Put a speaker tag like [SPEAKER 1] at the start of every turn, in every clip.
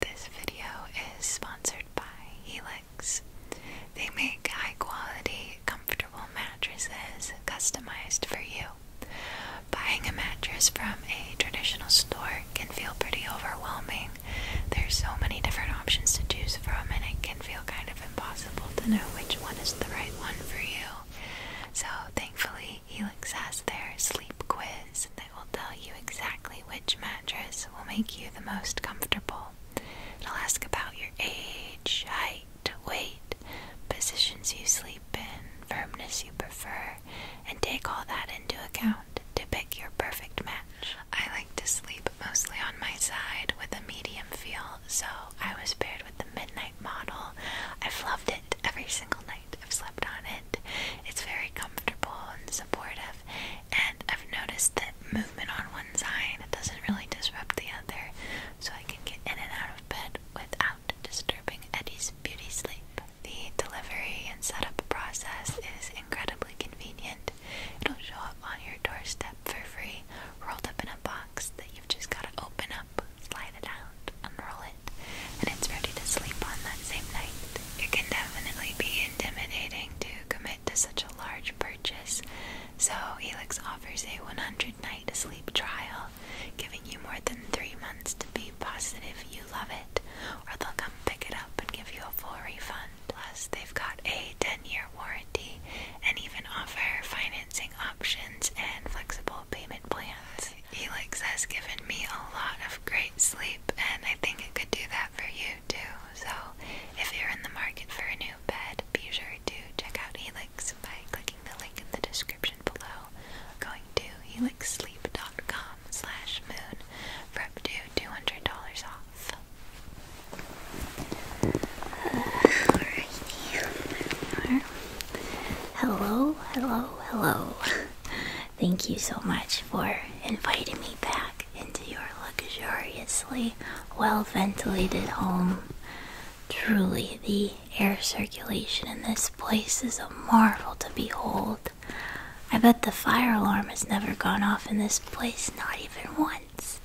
[SPEAKER 1] This video is sponsored by Helix. They make high quality, comfortable mattresses customized for you. Buying a mattress from a traditional store can feel pretty overwhelming. There's so many different options to choose from, and it can feel kind of impossible to know which one is the right one for you. So, thankfully, Helix has their sleep quiz that will tell you exactly which mattress will make you the most comfortable. i will ask about your age, height, weight, positions you sleep in, firmness you prefer, and take all that into account to pick your perfect match. I like to sleep mostly on my side with a medium feel, so I was paired with the midnight model. I've loved it every single night. I've slept on it. It's very comfortable and supportive, and I've noticed that movement on one side doesn't really disrupt the other, so I can get in and out of bed without disturbing Eddie's beauty sleep. The delivery and setup process is incredibly convenient. It'll show up on your doorstep for free, rolled up in a box that you've just got to open up, slide it out, unroll it, and it's ready to sleep on that same night. It can definitely be intimidating to commit to such a large purchase, so Helix offers a 100 night sleep trial, giving you more than three months to be positive you love it, or they'll come pick it up and give you a full refund. Plus, they've got a 10 year warranty and even offer financing options and flexible payment plans. Helix has given me a lot of great sleep and I think it could do that for you too. So, if you're in the market for a new bed, be sure to check out Elix by clicking the link in the description below, going to helixsleep.com/moon for up to two hundred dollars off.
[SPEAKER 2] Uh, Alrighty, hello, hello, hello. Thank you so much for inviting me back into your luxuriously well ventilated home. Truly, the air circulation in this place is a marvel to behold. I bet the fire alarm has never gone off in this place, not even once.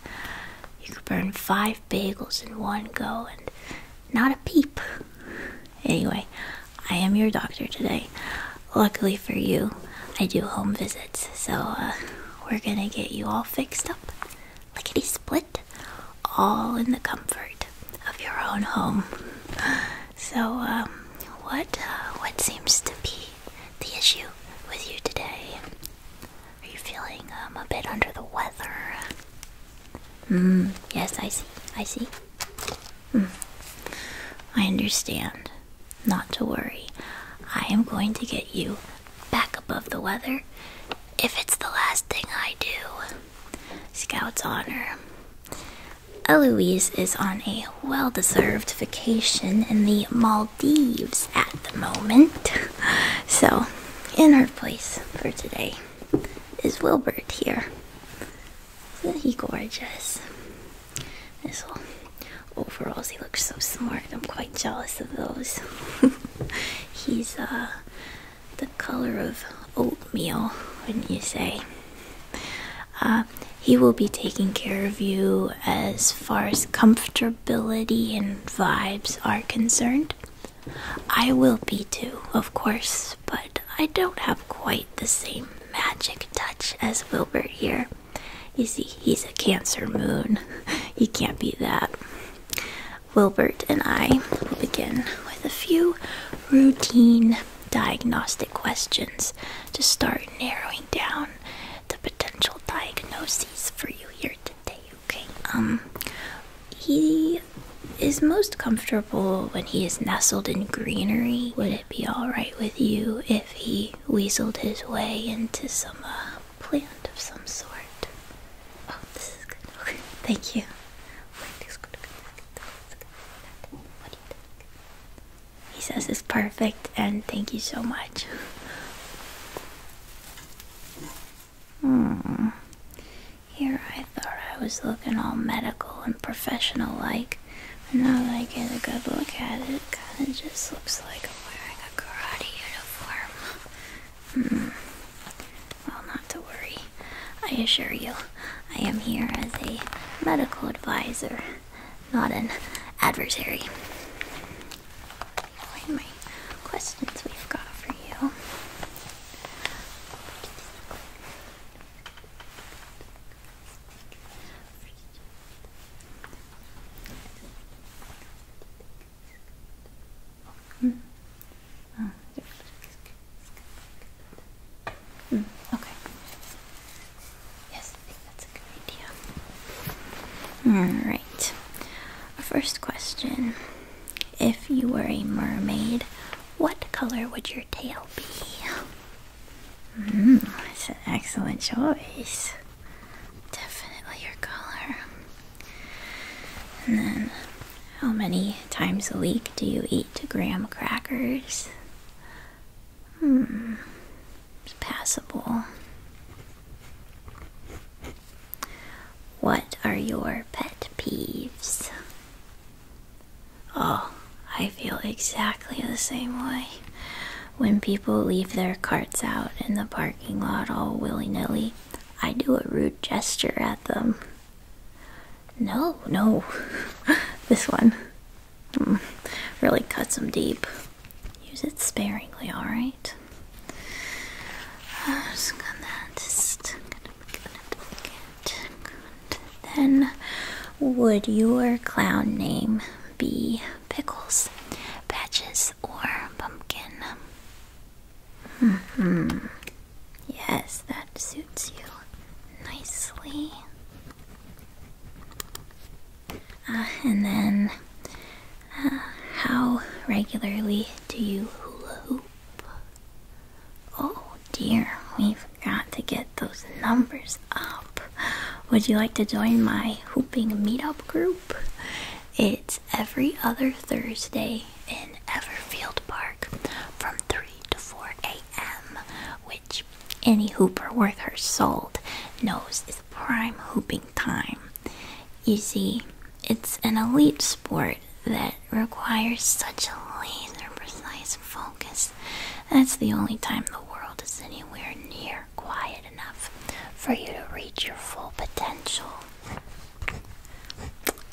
[SPEAKER 2] You could burn five bagels in one go and not a peep. Anyway, I am your doctor today. Luckily for you, I do home visits, so uh, we're gonna get you all fixed up, lickety split, all in the comfort of your own home. So, um, what uh, what seems to be the issue with you today? Are you feeling um, a bit under the weather? Hmm, yes, I see. I see. Hmm. I understand. Not to worry. I am going to get you back above the weather if it's the last thing I do. Scout's honor. Eloise is on a well deserved vacation in the Maldives at the moment. So, in her place for today is Wilbert here. Isn't he gorgeous? His whole overalls, he looks so smart. I'm quite jealous of those. He's uh, the color of oatmeal, wouldn't you say? Uh, he will be taking care of you as far as comfortability and vibes are concerned. I will be too, of course, but I don't have quite the same magic touch as Wilbert here. You see, he's a Cancer moon. He can't be that. Wilbert and I will begin with a few routine diagnostic questions to start narrowing down the potential diagnoses for you here today, okay? Um, he is most comfortable when he is nestled in greenery, be alright with you if he weaseled his way into some uh, plant of some sort? Oh, thank you. He says it's perfect, and thank you so much. Hmm. Here I thought I was looking all medical and professional like. Now that i get a good look at it. it kind of just looks like I'm wearing a karate uniform. Hmm. Well, not to worry. I assure you, I am here as a medical advisor, not an adversary. What my questions we've got for you? Mm. Oh, mm, okay. Yes, that's a good idea. Alright. First question. If you were a mermaid, what color would your tail be? Mm, that's an excellent choice. Definitely your color. And then, how many times a week do you eat graham crackers? Hmm, possible. What are your pet peeves? Oh, I feel exactly the same way. When people leave their carts out in the parking lot all willy nilly, I do a rude gesture at them. No, no, this one hmm. really cuts them deep. Use it sparingly, alright? just gonna, just then, would your clown name be Pickles, Patches, or Pumpkin? hmm. Yes, that suits you nicely. Uh, and then, uh, how regularly do you hula hoop? Oh dear, we've got to get those numbers up. Would you like to join my hooping meetup group? It's every other Thursday in Everfield Park from 3 to 4 a.m., which any hooper worth her salt knows is prime hooping time. You see, it's an elite sport that requires such a laser precise focus. That's the only time the world is anywhere near quiet enough for you to reach your full potential.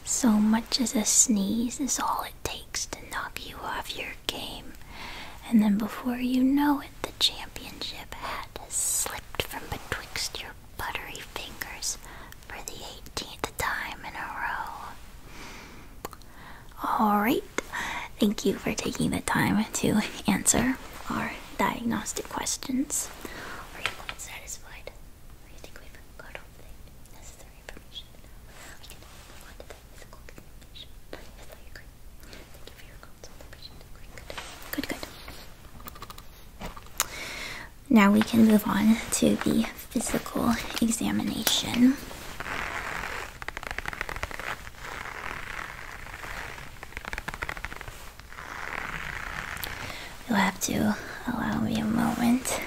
[SPEAKER 2] So much as a sneeze is all it takes to knock you off your game. And then before you know it, the championship hat has slipped from betwixt your buttery fingers for the 18th time in a row. All right. Thank you for taking the time to answer our diagnostic questions. Are you satisfied? I think we've got all the necessary information. I can move on to the physical examination. Yes, I Thank you for your consultation. Good, good. Good, good. Now we can move on to the physical examination. You'll have to allow me a moment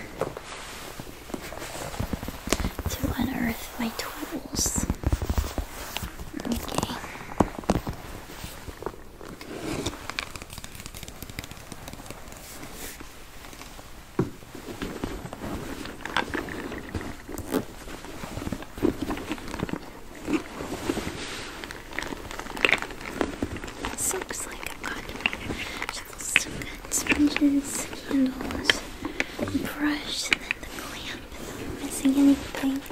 [SPEAKER 2] to unearth my tools. Okay. Seems like I've got to make some good sponges, candles, brush, and then the clamp.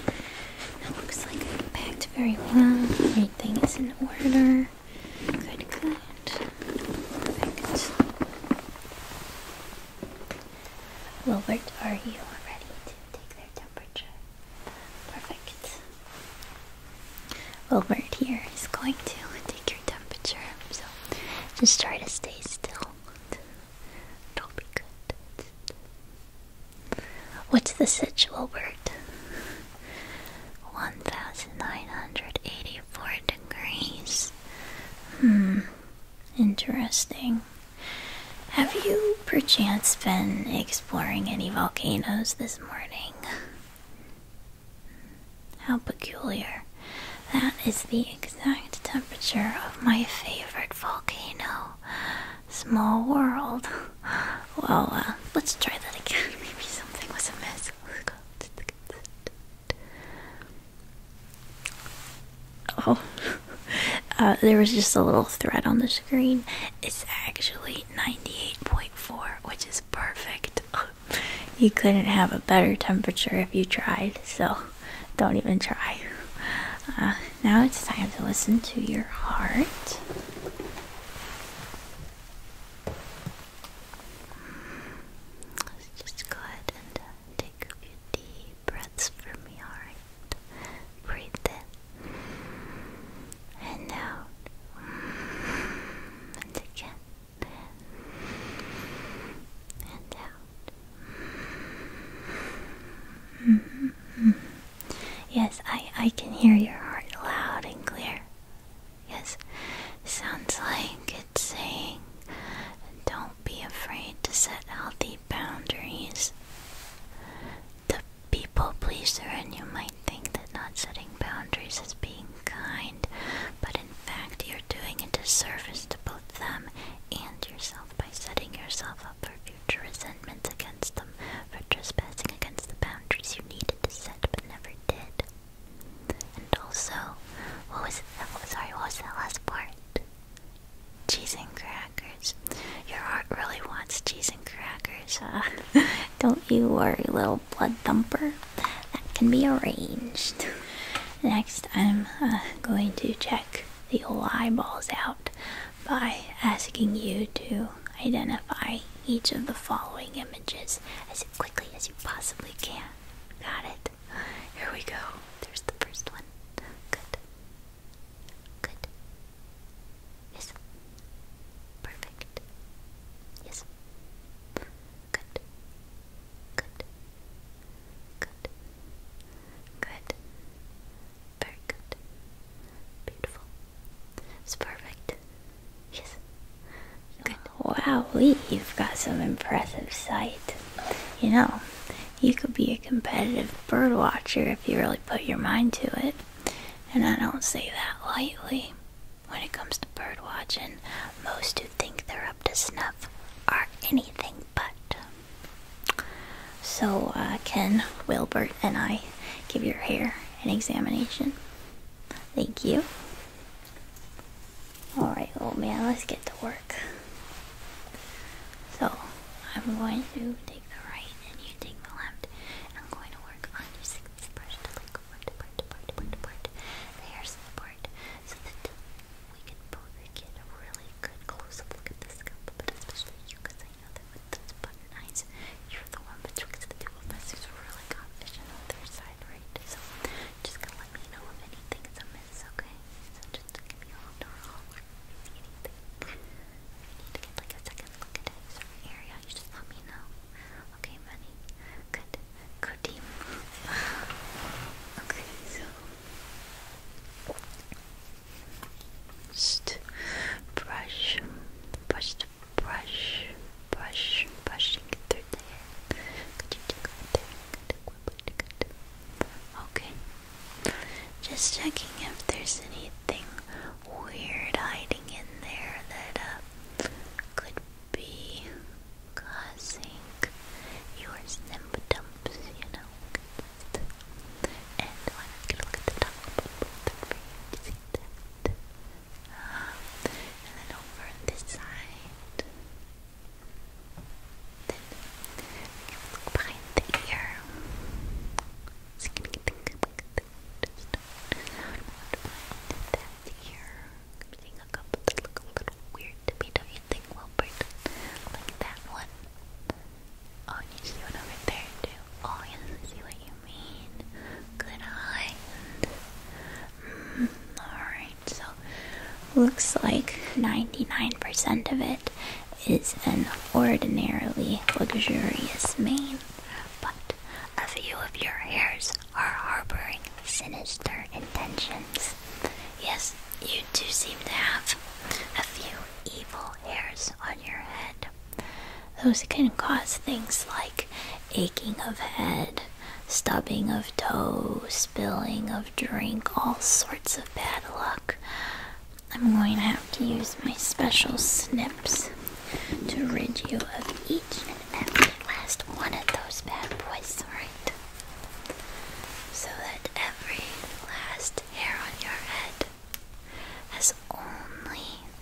[SPEAKER 2] Am I missing anything? It looks like it packed very well. Everything is in order. Good, good. Perfect.
[SPEAKER 1] Wilbert, are you ready to take their temperature?
[SPEAKER 2] Perfect. Wilbert here is going to take your temperature, so just try to stay still. It'll be good. What's the sitch, Wilbert? 1980 74 degrees. Hmm, interesting. Have you perchance been exploring any volcanoes this morning? How peculiar. That is the exact temperature of my favorite volcano. Small world. Well, uh, let's try that again. Maybe something was amiss. Let's go. Oh, uh, there was just a little thread on the screen. It's actually 98.4, which is perfect. you couldn't have a better temperature if you tried, so don't even try. Uh, now it's time to listen to your heart.
[SPEAKER 1] Let's just go ahead and uh, take a few deep breaths for me, alright?
[SPEAKER 2] Breathe in and out, and again, and out. Mm-hmm. Yes, I I can hear your heart loud and clear. Yes, sounds like it's saying don't be afraid to set healthy boundaries. The people pleaser, and you might think that not setting boundaries is being kind, but in fact, you're doing a disservice to both them and yourself by setting yourself up for future resentments against them for trespassing against the boundaries you needed to set but never did. And also, what was that? Oh, sorry, what was that last part? Cheese and crackers. Your heart really wants cheese and crackers, huh? Don't you worry, little blood thumper. That can be arranged. Next, I'm uh, going to check the old eyeballs out by asking you to identify each of the following images as quickly as you possibly can. Got it? Here we go. There's the first one. Good. Good. Yes. Perfect. Yes. Good. Good. Good. Good. Very good. Beautiful. It's perfect. Wow, Lee, you've got some impressive sight. You know, you could be a competitive bird watcher if you really put your mind to it. And I don't say that lightly. When it comes to bird watching, most who think they're up to snuff are anything but. So, uh, Ken, Wilbert, and I give your hair an examination. Thank you. Alright, old oh man, let's get to work. So, I'm going to take the right and you take the left. I'm going to work on your sixth part, like part, part, part, part, part, the hair so that we can both get a really good close-up look at the scalp, but especially you, because I know that with those button eyes, you're the one betwixt the two professors are really confident on their side, right? So just gonna let me know if anything's amiss, okay? So just give me a little roll or anything. If you need to get like
[SPEAKER 1] a second look at a certain area, you just let me know. Okay, buddy? Good. Good team. okay, so... Just brush, brush just brush, brush, brushing through the Could you take
[SPEAKER 2] right there? Okay. Just checking if there's anything weird hiding in there that uh, could be causing your symptoms, you know. And why not get a look at the top? You see that? and then over on this side. Then behind the ear. Just gonna get the that ear. I'm a couple that look a little weird to me, don't you think, Wilbert? Like that one. Oh, you see one over there too. Oh yes, I see what you mean? Good eye. Mm, alright, so looks like 99% of it is an ordinarily luxurious mane, but a few of your hairs are harboring sinister intentions. Yes, you do seem to have a few evil hairs on your head. Those can cause things like aching of head, stubbing of toe, spilling of drink, all sorts of bad luck. I'm going to have to use my special snips to rid you of each and every last one of those bad boys, alright? So that every last hair on your head has only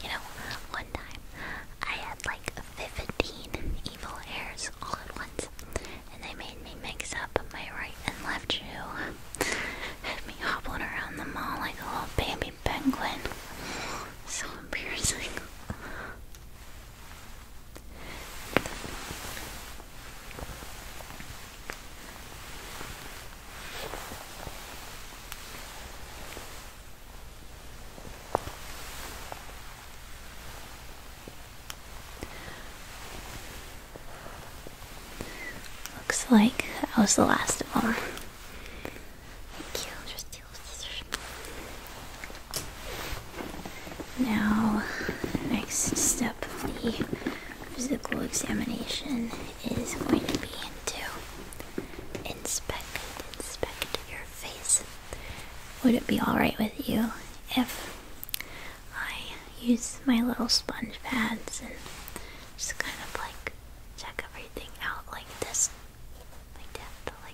[SPEAKER 2] You know, one time I had like 15 evil hairs all at once, and they made me mix up my right and left shoe. Had me hobbling around the mall like a little baby penguin. So embarrassing. Looks like that was the last of them. Thank you steel scissors. Now, next step of the physical examination is going to be to inspect, inspect your face. Would it be alright with you if I use my little sponge pads and just kind of like check everything out like this? Like that, like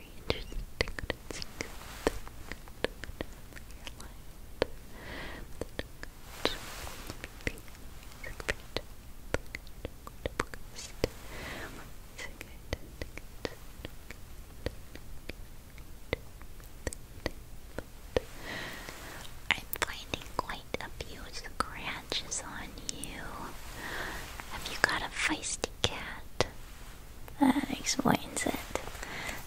[SPEAKER 2] I'm finding quite a few scratches on you. Have you got a feisty cat. That explains it.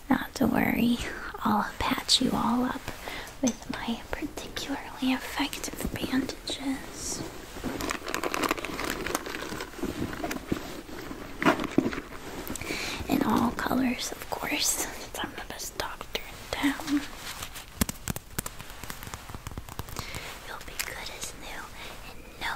[SPEAKER 2] Not to worry, I'll patch you all up with my particularly effective bandages. In all colors, of course, since I'm the best doctor in town. You'll be good as new and no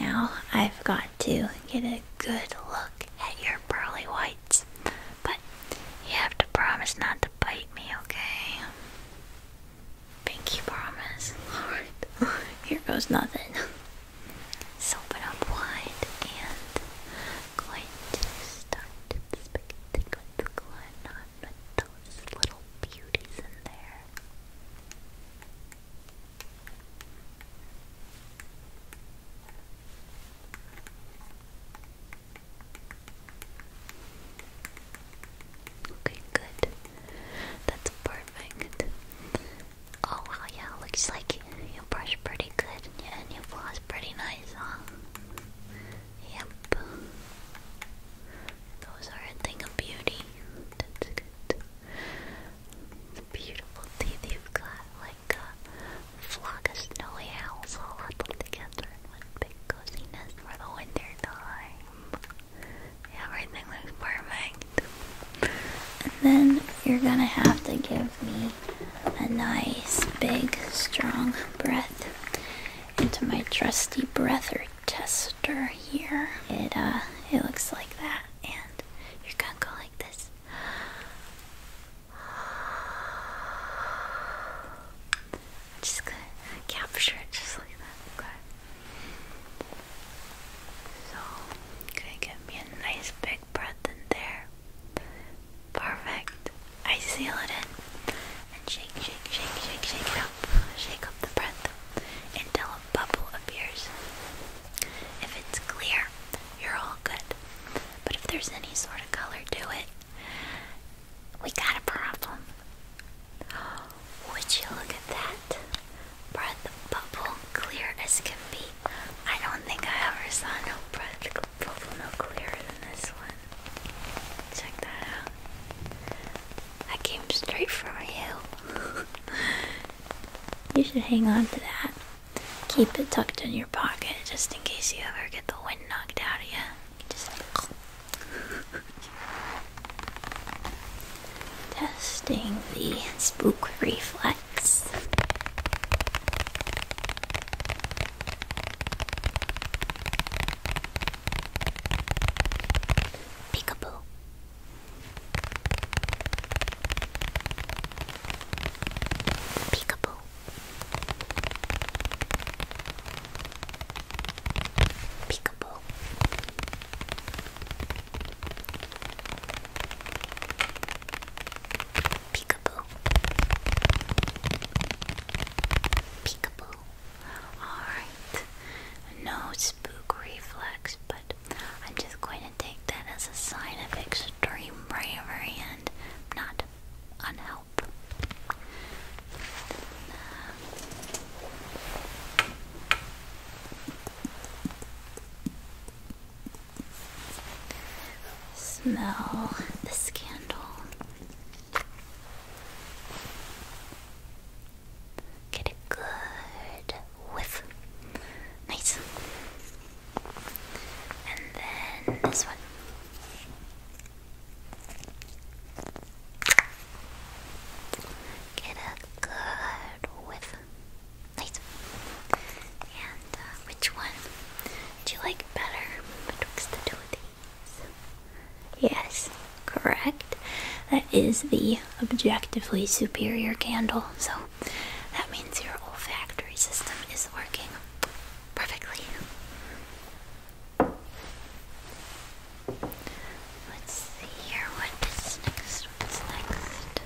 [SPEAKER 2] Now I've got to get a good look at your pearly whites, but you have to promise not to bite me, okay? Pinky promise. here goes nothing. So open up wide and going to start those little beauties in there. Okay, good. That's perfect. Oh wow, yeah, looks like you, brush pretty good yeah, and floss pretty nice, huh? Yep. Those are a thing of beauty.
[SPEAKER 1] That's good. It's beautiful teeth you've got, like a flock of snowy owls all huddled together in one big cozy for the winter time.
[SPEAKER 2] Everything looks perfect. then you're gonna have to give me a nice, big, strong breath into my trusty breather tester here. It uh it looks like that and you're gonna go like this.
[SPEAKER 1] just gonna capture it just like that.
[SPEAKER 2] So gonna get me a nice big breath in there. Perfect. I seal it in and shake, shake, shake, shake, shake it up. Shake up the breath until a bubble appears. If it's clear, you're all good. But if there's any sort of color to it, we got a problem.
[SPEAKER 1] Would you look at that?
[SPEAKER 2] Breath bubble clear as can be. I don't think I ever saw no breath bubble no clearer than this one. Check that out. I came straight from a hill. you should hang on to that. Keep it tucked in your pocket just in case you ever get the wind knocked out of you. Testing the spook reflex. Peekaboo. Peekaboo. Peekaboo. Peekaboo. Peekaboo. Alright. No spook reflex, but I'm just going to take that as a sign of extreme bravery and not unhelp. Smell the scandal. Get a good whiff. Nice. And then this one. Get a good whiff. Nice. And uh, which one do you like better betwixt the two of Yes, correct. That is the objectively superior candle, so that means your
[SPEAKER 1] olfactory
[SPEAKER 2] system is working perfectly. Let's see here. What is next? What's next?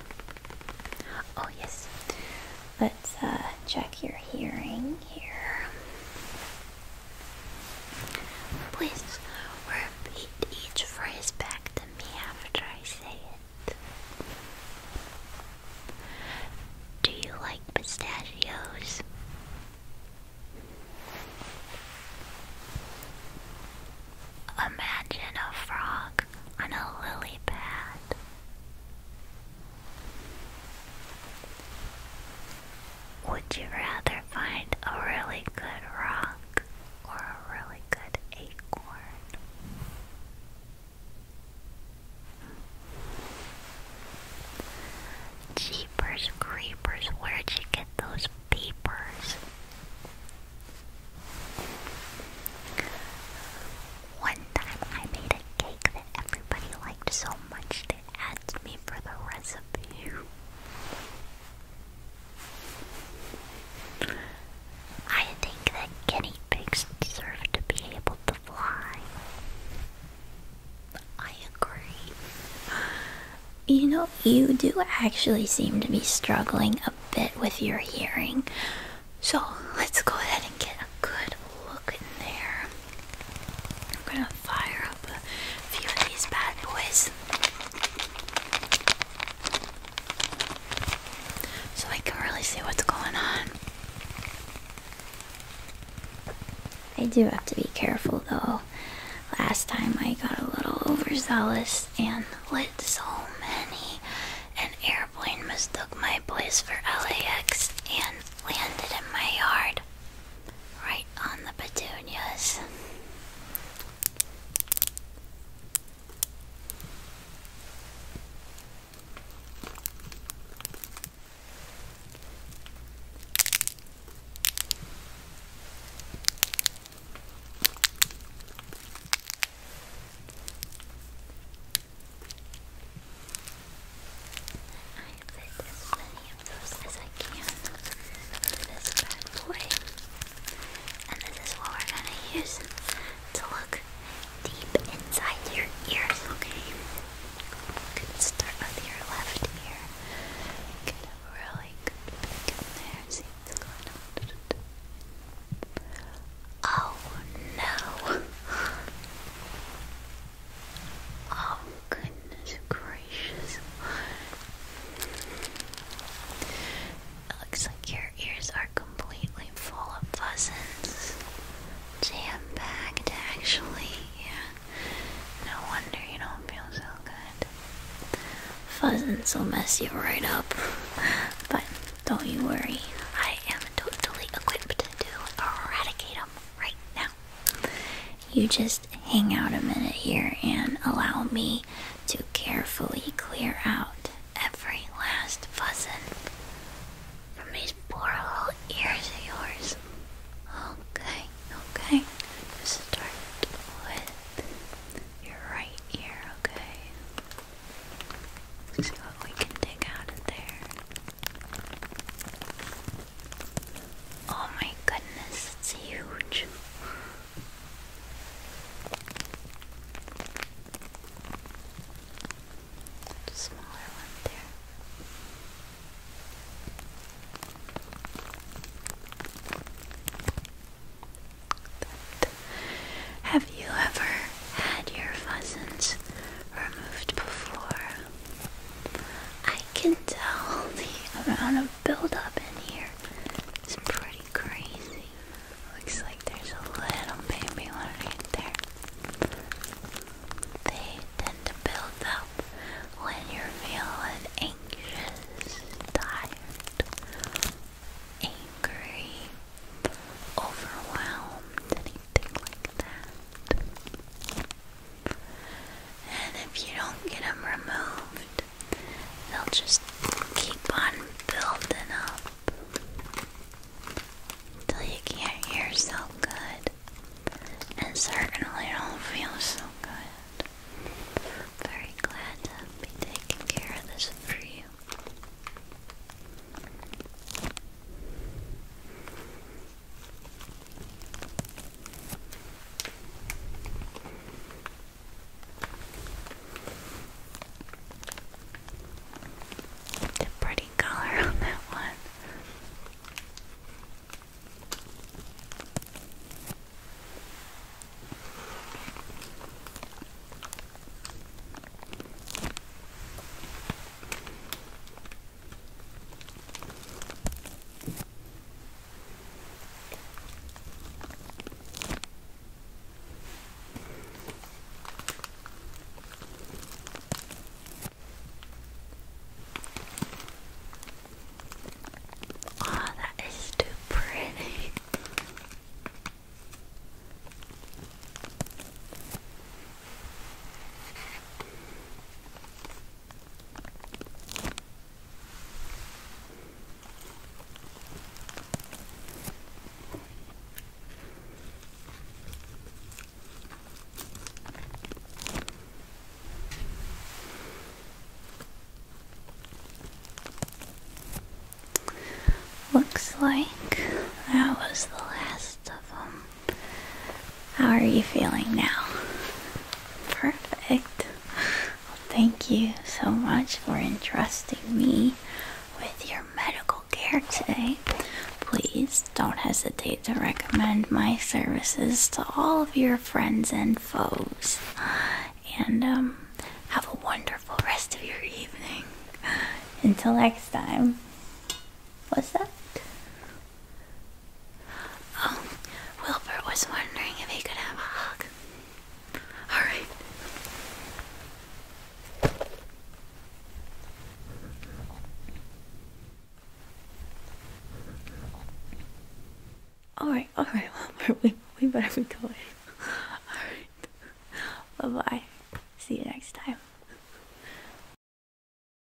[SPEAKER 2] Oh, yes. Let's uh, check your hearing here. Please repeat each phrase back to me after I say it. Do you like pistachios? Imagine a frog on a lily pad. Would you rather find a really good rock or a really good acorn? Jeepers, creepers, where'd you get those
[SPEAKER 1] peepers?
[SPEAKER 2] One time I made a cake that everybody liked so much at me for the recipe. I think that guinea pigs deserve to be able to fly. I agree. You know, you do actually seem to be struggling a bit with your hearing. So let's go ahead and get a good look in
[SPEAKER 1] there. I'm gonna fire
[SPEAKER 2] up a few of these bad boys so I can really see what's going on. I do have to be careful though. Last time I got a little overzealous and lit so many. An airplane mistook my place for LAX and landed in my yard. Right on the petunias try and fit as many of those as I can this bad boy. And this is what we're gonna use to look deep inside your ears, okay? We're gonna start with your left ear. Get a really good look in there, see what's going on. Oh no! Oh, goodness gracious. It looks like your ears are completely full of buzzins. Jam packed, actually. Yeah. No wonder you don't feel so good. Fuzzins will mess you right up. But don't you worry, I am totally equipped to eradicate them right now. You just hang out a minute here and allow me to carefully clear out every last fuzzin from these poor little ears of yours. Okay, okay. Start with your right ear, okay? see what we can dig out of there. Oh my goodness, it's huge.
[SPEAKER 1] Smaller one there.
[SPEAKER 2] have you ever had your pheasants removed before? I can tell the amount of buildup in here is pretty crazy. Looks like there's a little baby one right there. They tend to build up when you're feeling anxious, tired,
[SPEAKER 1] angry, overwhelmed, anything like that. And if you don't get them removed, they'll just keep on building up
[SPEAKER 2] till you can't hear so good, and certainly don't feel so good. Very glad to be taking care of this for you. It's a pretty color on that one.
[SPEAKER 1] Oh, that is too pretty. Looks like
[SPEAKER 2] that was the last of them. How are you feeling now? Perfect. thank you so much for entrusting me with your medical care today. Please don't hesitate to recommend my services to all of your friends and foes. And um, have a wonderful rest of your evening. Until next time. What's up?
[SPEAKER 1] Oh, Wilbur was wondering if he could have a hug. All right.
[SPEAKER 2] All right, all right, Wilbur, we, we better be going. All right.
[SPEAKER 1] Bye-bye. See you next time.